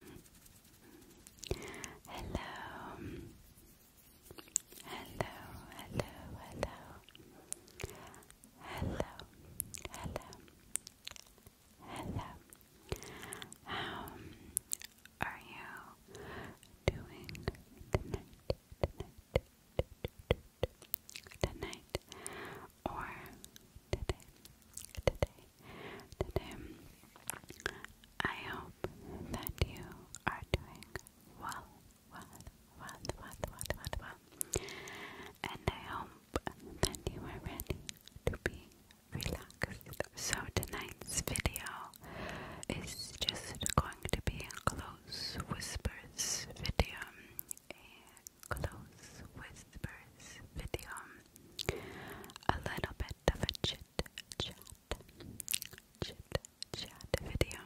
Hello. Hello, hello, hello. Hello, hello, How are you doing Tonight, tonight, tonight or today, today, today. I hope that you are doing well, well, well, well, well, well, And I hope that you are ready to be relaxed. So tonight's video is just going to be a close whispers video. A close whispers video a little bit of a chit chat, chit chat video,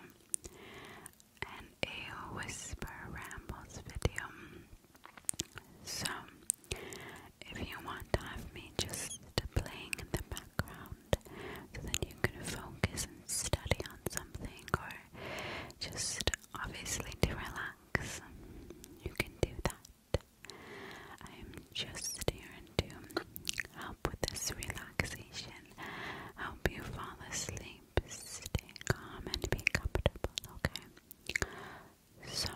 and a whisper rambles video. So, if you want to have me just playing in the background so you can focus and study on something, or just obviously to relax, you can do that. I'm just here to help with this relaxation, help you fall asleep, stay calm, and be comfortable, okay? So,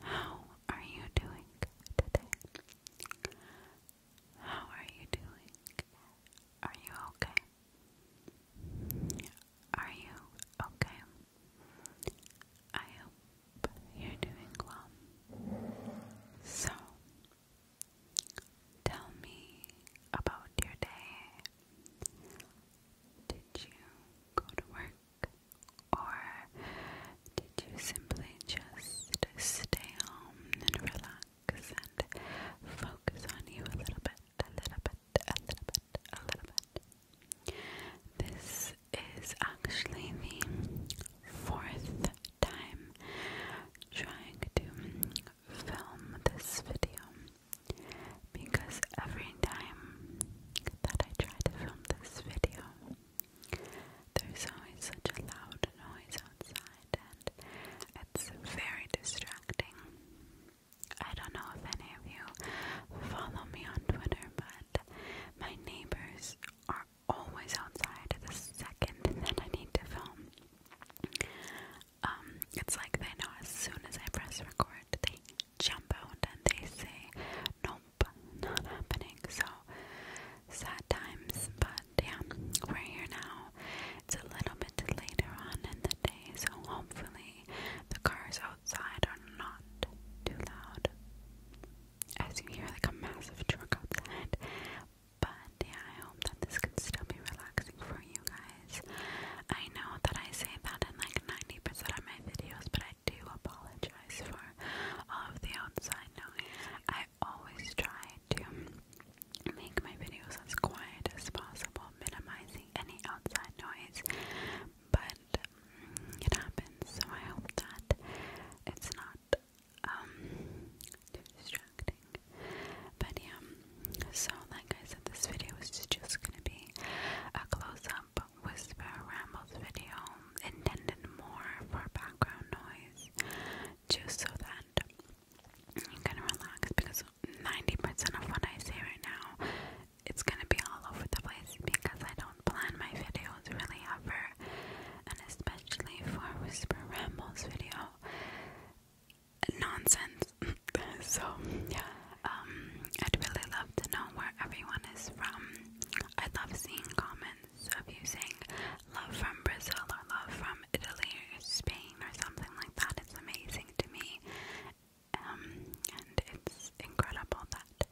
how are you doing today? How are you doing? Are you okay? Are you okay? I hope you're doing well. So, tell me about your day. Did you go to work? Or did you simply just stay home and relax and focus on you a little bit, a little bit, a little bit, a little bit? This is actually the fourth time trying to film this video because every time that I try to film this video, there's always such a loud noise outside and it's very distracting. I don't know if any of you follow me on Twitter, but my neighbors are always outside the second that I need to film. Um, it's like they know as soon as I press record, they jump out and they say, Nope, not happening. So sad times, but yeah, we're here now. It's a little bit later on in the day, so hopefully the cars outside are not too loud. As you hear, like a massive truck outside. But yeah, I hope that this can still be relaxing for you guys. I know that I say that in like 90% of my videos, but I do apologize for all of the outside noise. I always try to make my videos as quiet as possible, minimizing any outside noise but mm, it happens, so I hope that it's not um, too distracting. But yeah, so like I said, this video is just gonna be a close up whisper rambles video intended more for background noise, just so that you can relax because 90% of what I say right now it's gonna be all over the place because I don't plan my videos really ever, and especially for Whisper Rambles video, nonsense. so yeah, um, I'd really love to know where everyone is from. I love seeing comments of you saying love from Brazil or love from Italy or Spain or something like that. It's amazing to me. Um, and it's incredible that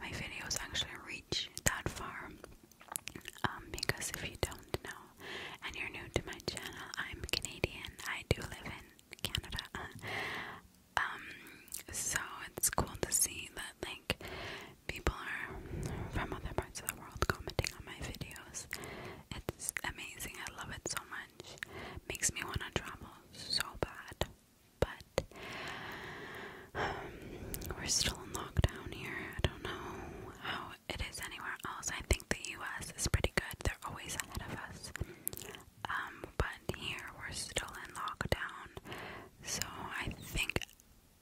my videos actually reach that far. Um, because if you don't know and you're new to my channel, I'm Canadian. I do live in Canada. um, so it's cool to see that like people are from other parts of the world commenting on my videos. It's amazing. I love it so much. Makes me want to travel so bad but um, we're still in lockdown here. I don't know how it is anywhere else. I think the US is pretty good, they're always ahead of us. Um, but here we're still in lockdown, so I think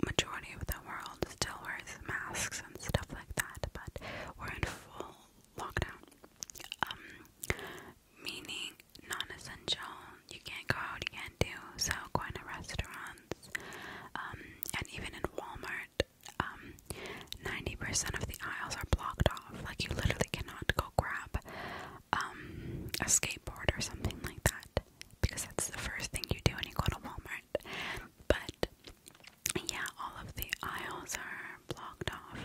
majority of the world still wears masks and stuff like that, but we're in full lockdown. Um, meaning non-essential. You can't go out, you can't do so. Going to restaurants, um, and even in Walmart, 90% um, of the aisles are blocked off. Like you literally cannot go grab um, a skateboard or something like that because that's the first thing you do when you go to Walmart. But yeah, all of the aisles are blocked off,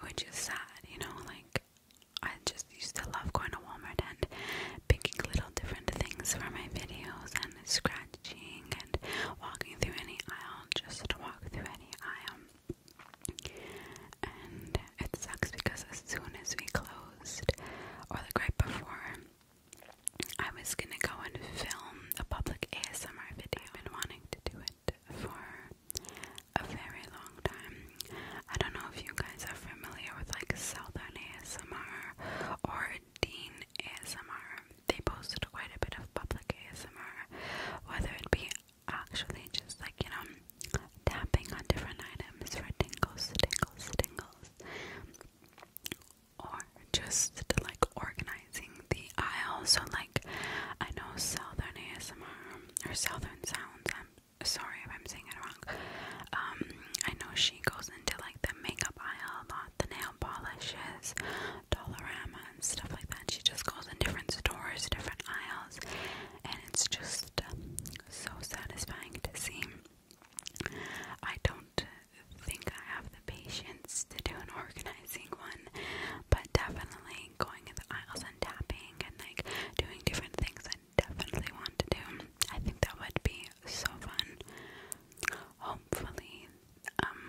which is sad. You know, like I just used to love going to Walmart and picking little different things for my videos and scratching and walking through any aisle just to walk through any aisle. And it sucks because as soon as we closed, or the right before, I was gonna go and film a public ASMR video. and wanting to do it for a very long time. I don't know if you guys are familiar with like Southern ASMR or Dean ASMR. They posted quite a bit of public ASMR, whether it be actually just like, you know, tapping on different items for tingles, tingles, tingles, or just like organizing the aisle. So, like, I know Southern ASMR or Southern Sounds, sorry if I'm saying it wrong. Um, I know she goes into like the makeup aisle a lot, the nail polishes, Dollarama, and stuff like that. She just goes in different stores, different aisles, and it's just uh, so satisfying to see. I don't think I have the patience to do an organizing one, but definitely going in the aisles and tapping and like doing different things that definitely want to do. I think that would be so fun. Hopefully, um,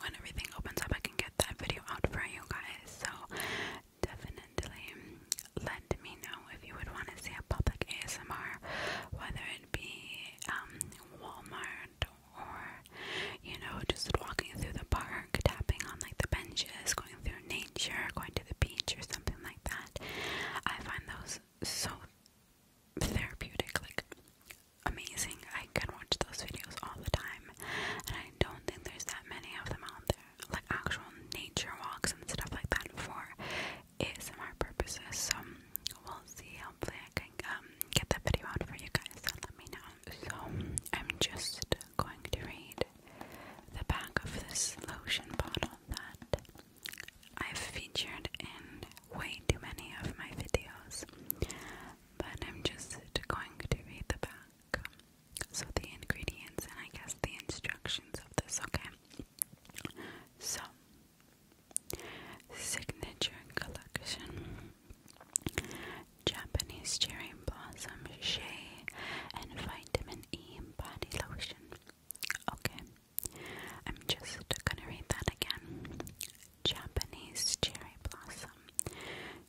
when everything opens up, I can get that video out for you guys. So, definitely let me know if you would want to see a public ASMR, whether it be um, Walmart or you know, just walking through the park, tapping on like the benches, going through nature, going to the beach or something like that. I find those so therapeutic, like amazing. I can watch those videos all the time, and I don't think there's that many of them out there, like actual nature walks and stuff like that for ASMR purposes. So we'll see. Hopefully, I can um, get that video out for you guys. So let me know. So I'm just going to read the back of this lotion bottle that I've featured in way too many of my videos, but I'm just going to read the back. So, the ingredients and I guess the instructions of this, okay? So, Signature Collection Japanese Cherry Cherry Blossom Shea and Vitamin E Body Lotion. Okay, I'm just gonna read that again. Japanese Cherry Blossom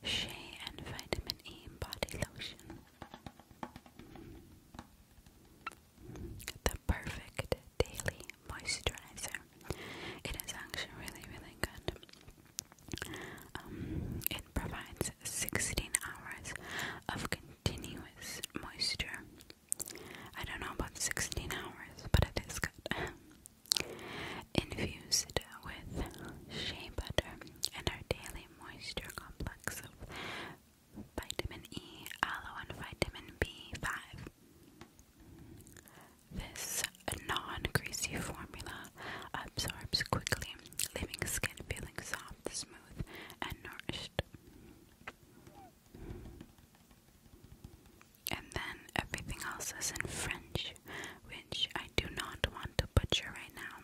Shea and Vitamin E Body Lotion. The perfect daily moisturizer. It is actually really, really good. Um, it provides 16 hours of continuous moisture. I don't know about 16 hours, but it is good. Infused with shea butter and our daily moisture complex of vitamin E, aloe, and vitamin B5. This non greasy formula absorbs quickly, leaving skin feeling soft, smooth, and nourished. And then everything else is in French, which I do not want to butcher right now.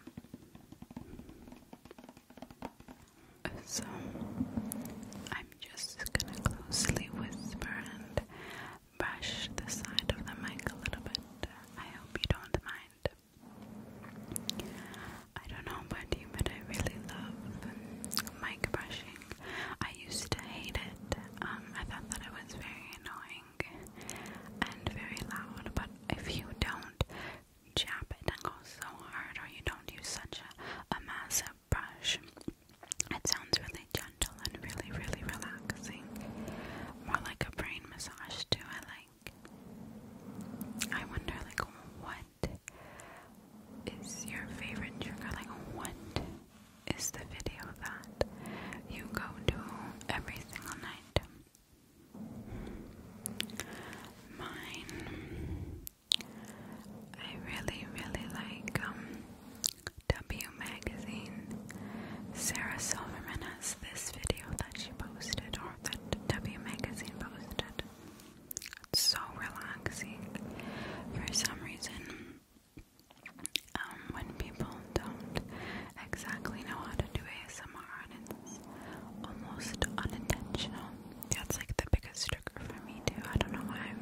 So I'm just gonna closely whisper and brush the side of the mic a little bit. I hope you don't mind. I don't know about you, but I really love mic brushing. I used to hate it. Um, I thought that it was very annoying and very loud, but if you don't jab it and go so hard or you don't use such a, a massive brush, it sounds really gentle and really, really relaxing. More like a brain massage too, I like. I wonder, like, what is your favorite trigger? Like, what is the video that you go to every single night? Mine, I really, really like um, W Magazine. Sarah Silverman has this video that she posted, that W Magazine posted. It's so relaxing. For some reason, um, when people don't exactly know how to do ASMR and it's almost unintentional, that's like the biggest trigger for me too. I don't know why.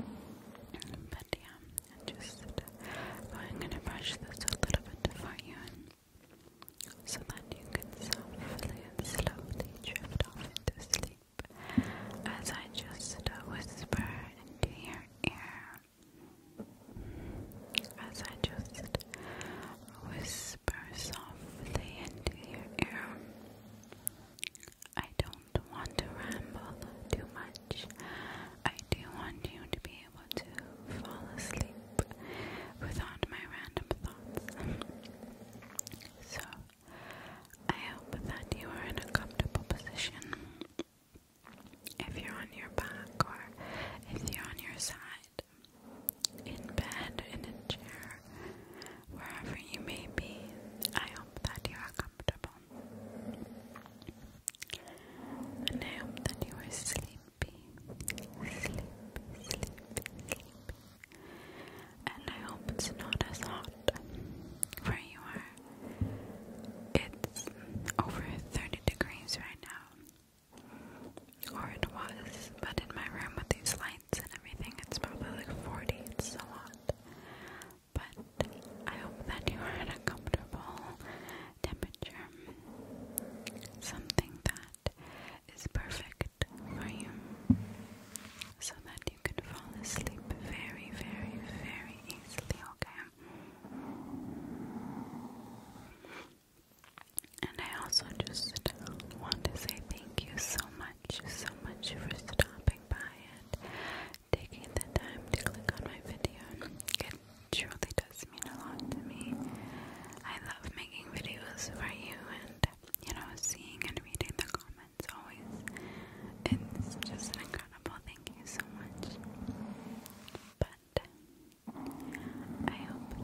But yeah, I'm going to brush this a little bit for you so that you can softly and slowly drift off into sleep as I just whisper into your ear. As I just whisper softly into your ear. I don't want to ramble too much. I do want you to be able to fall asleep without my random thoughts. so, I hope that you are in a comfortable position. If you're on your back or if you're on your side, in bed, in a chair, wherever you may be, I hope that you are comfortable. And I hope that you are sleeping sleepy, sleepy, sleepy, sleepy. And I hope it's not as hot where you are. It's over 30 degrees right now. Or it was, but in my room with these lights and everything, it's probably like 40. It's so hot. But I hope that you are at a comfortable temperature. Something that is perfect for you so that you can fall asleep very, very, very easily, okay? And I also just want to say thank you so much, so much for stopping by and taking the time to click on my video. It truly does mean a lot to me. I love making videos for you and you know, seeing and reading the comments always. It's just incredible thank you so much. But I hope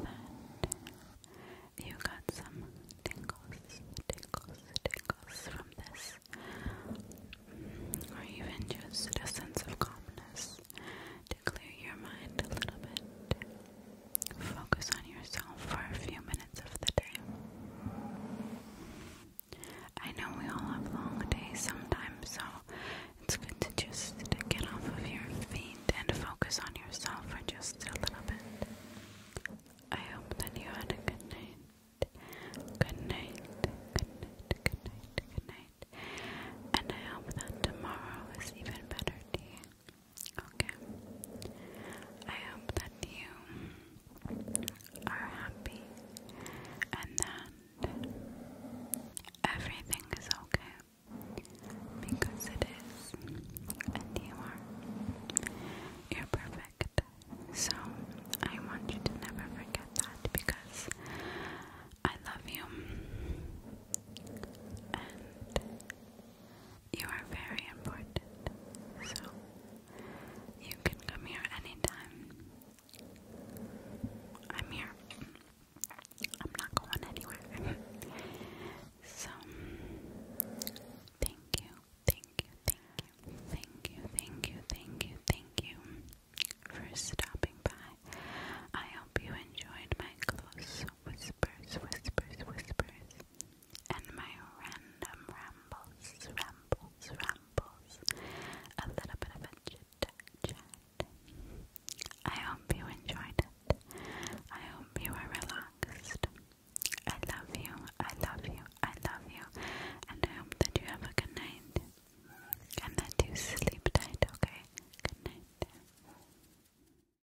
that you got some tingles, tingles, tingles from this. Or even just a sense of calmness to clear your mind a little bit. Focus on yourself for a few minutes of the day. I know we all have long days sometimes, so it's good to just get off of your feet and focus on yourself for just a little bit. I hope that you had a good night. Good night. Good night. Good night. Good night. And I hope that tomorrow is even better to Okay. I hope that you are happy and that everything is okay because it is, and you are. You're perfect. So I want you to never forget that because I love you and you are very important, so you can come here anytime. I'm here. I'm not going anywhere. so, thank you, thank you, thank you, thank you, thank you, thank you, thank you for stopping by. I hope you enjoyed my close whispers, whispers, whispers and my random rambles, rambles, rambles, a little bit of a chat. I hope you enjoyed it. I hope you are relaxed. I love you, I love you, I love you, and I hope that you have a good night and that you sleep tight, okay? Good night.